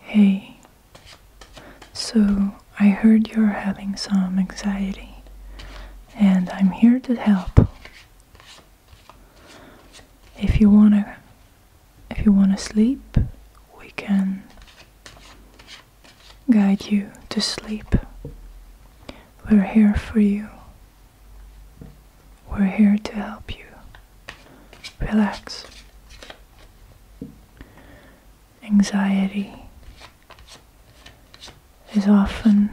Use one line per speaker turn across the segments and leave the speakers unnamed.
Hey, so I heard you're having some anxiety, and I'm here to help. If you wanna, if you wanna sleep, we can guide you to sleep. We're here for you. We're here to help you. Relax. Anxiety is often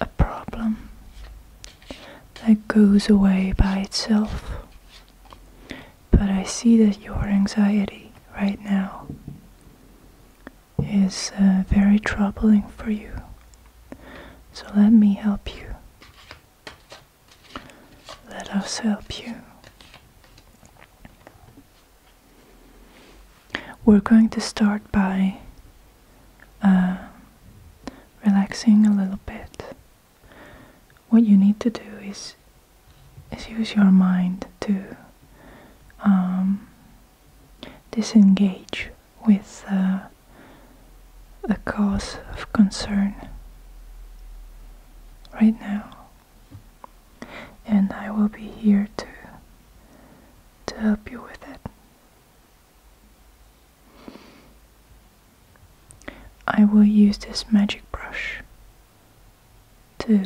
a problem that goes away by itself. But I see that your anxiety right now is uh, very troubling for you. So let me help you. Let us help you. We're going to start by uh, relaxing a little bit. What you need to do is use your mind to um, disengage with a uh, cause of concern right now and I will be here to to help you with it. I will use this magic brush to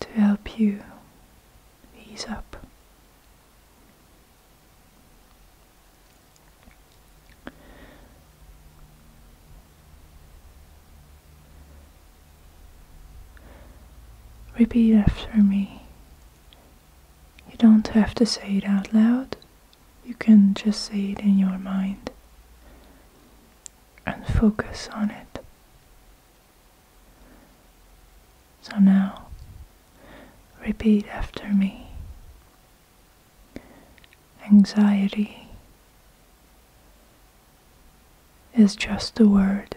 to help you ease up. Repeat after me. You don't have to say it out loud, you can just say it in your mind and focus on it. So now, repeat after me Anxiety is just a word.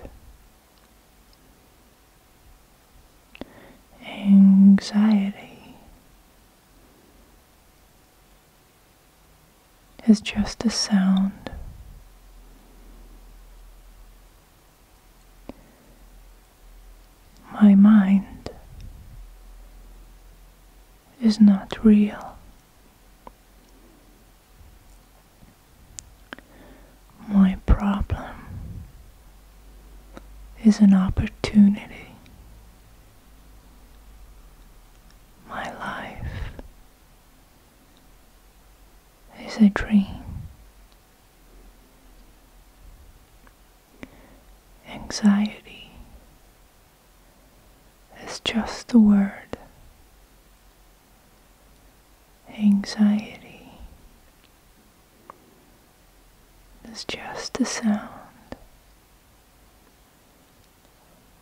Anxiety is just a sound. My mind is not real. My problem is an opportunity. My life is a dream. Anxiety is just a word. Anxiety is just a sound.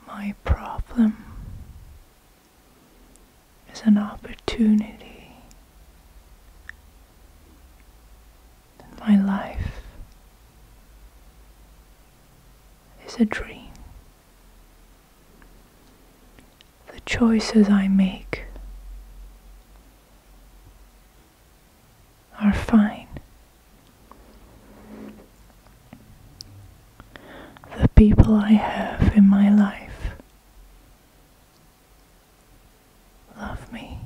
My problem is an opportunity. my life is a dream. The choices I make are fine the people I have in my life love me.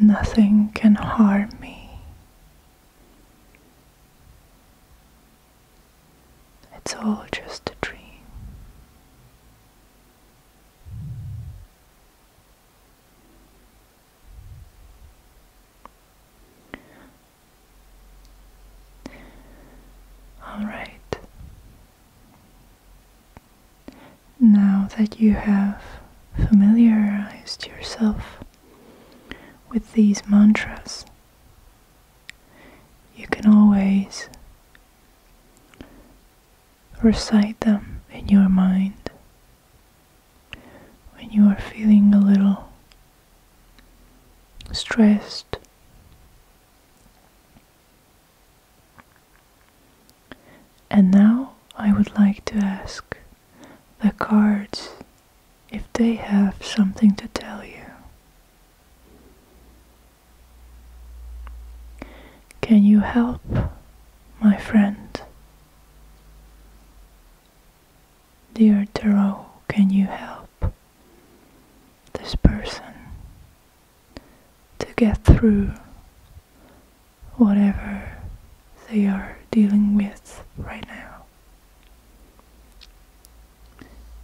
Nothing can harm me. It's all just a dream. All right. Now that you have familiarized yourself with these mantras, you can always Recite them in your mind when you are feeling a little stressed. And now I would like to ask the cards if they have something to tell you. Can you help, my friend? Dear Tarot, can you help this person to get through whatever they are dealing with right now?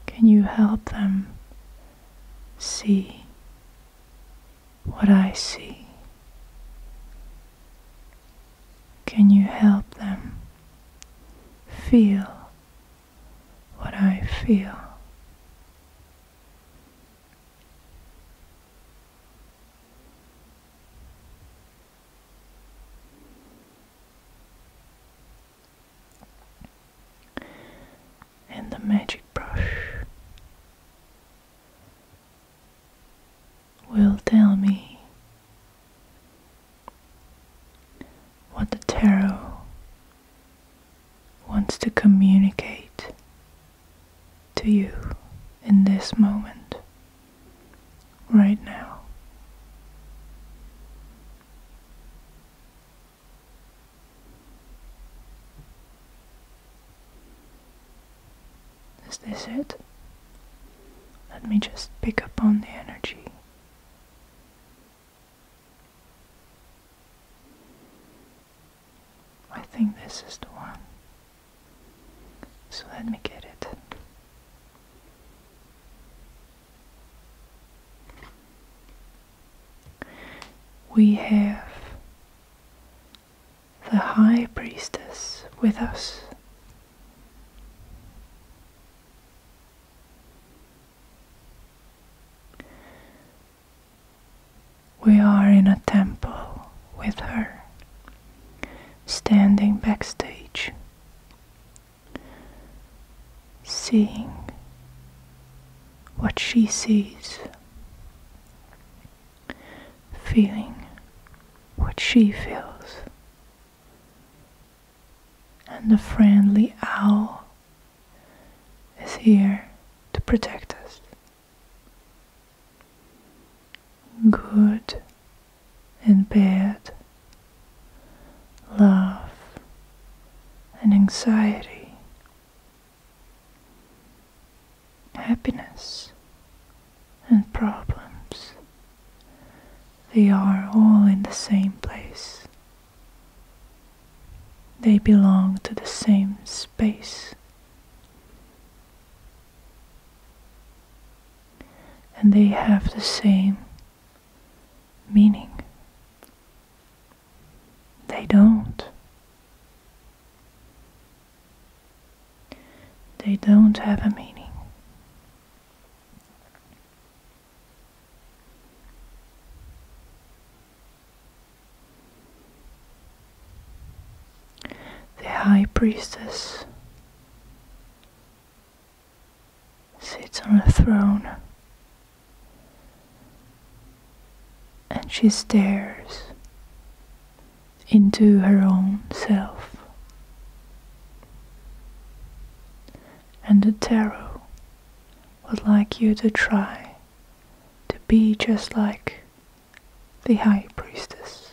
Can you help them see what I see? Can you help them feel what I feel? and the magic brush will tell me what the tarot wants to communicate to you in this moment, right now. Is this it? Let me just pick up on the energy. I think this is the one. So let me get it. We have the High Priestess with us. We are in a temple with her, standing backstage seeing what she sees, feeling what she feels, and the friendly owl is here to protect us. Good and bad, love, and anxiety, happiness, and problems. They are all in the same place. They belong to the same space. And they have the same meaning. They don't. They don't have a meaning. The High Priestess sits on a throne and she stares into her own self. And the tarot would like you to try to be just like the High Priestess.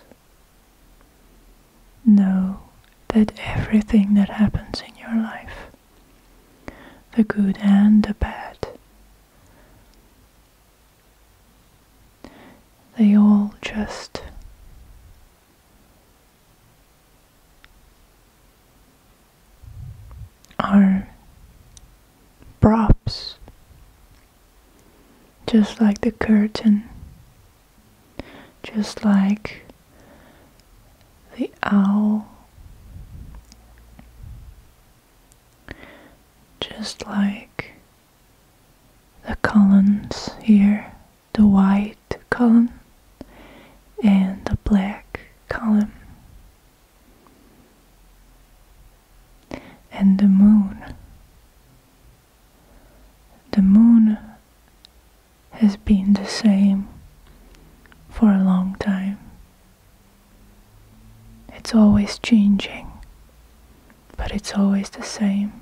Know that everything that happens in your life, the good and the bad, they all just are props, just like the curtain just like the owl, just like the columns here, the white column and the black column. And the moon the moon has been the same for a long time. It's always changing, but it's always the same.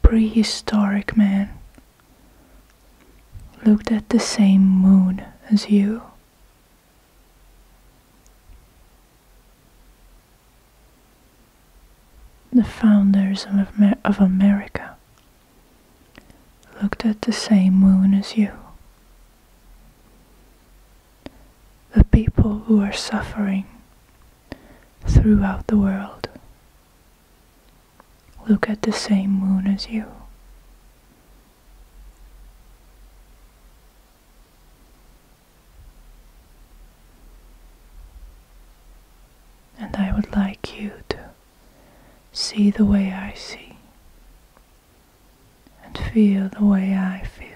Prehistoric man looked at the same moon as you. The founders of, America looked at the same moon as you. The people who are suffering throughout the world look at the same moon as you. And I would like you to see the way I see and feel the way I feel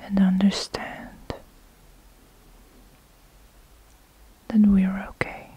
and understand that we're okay.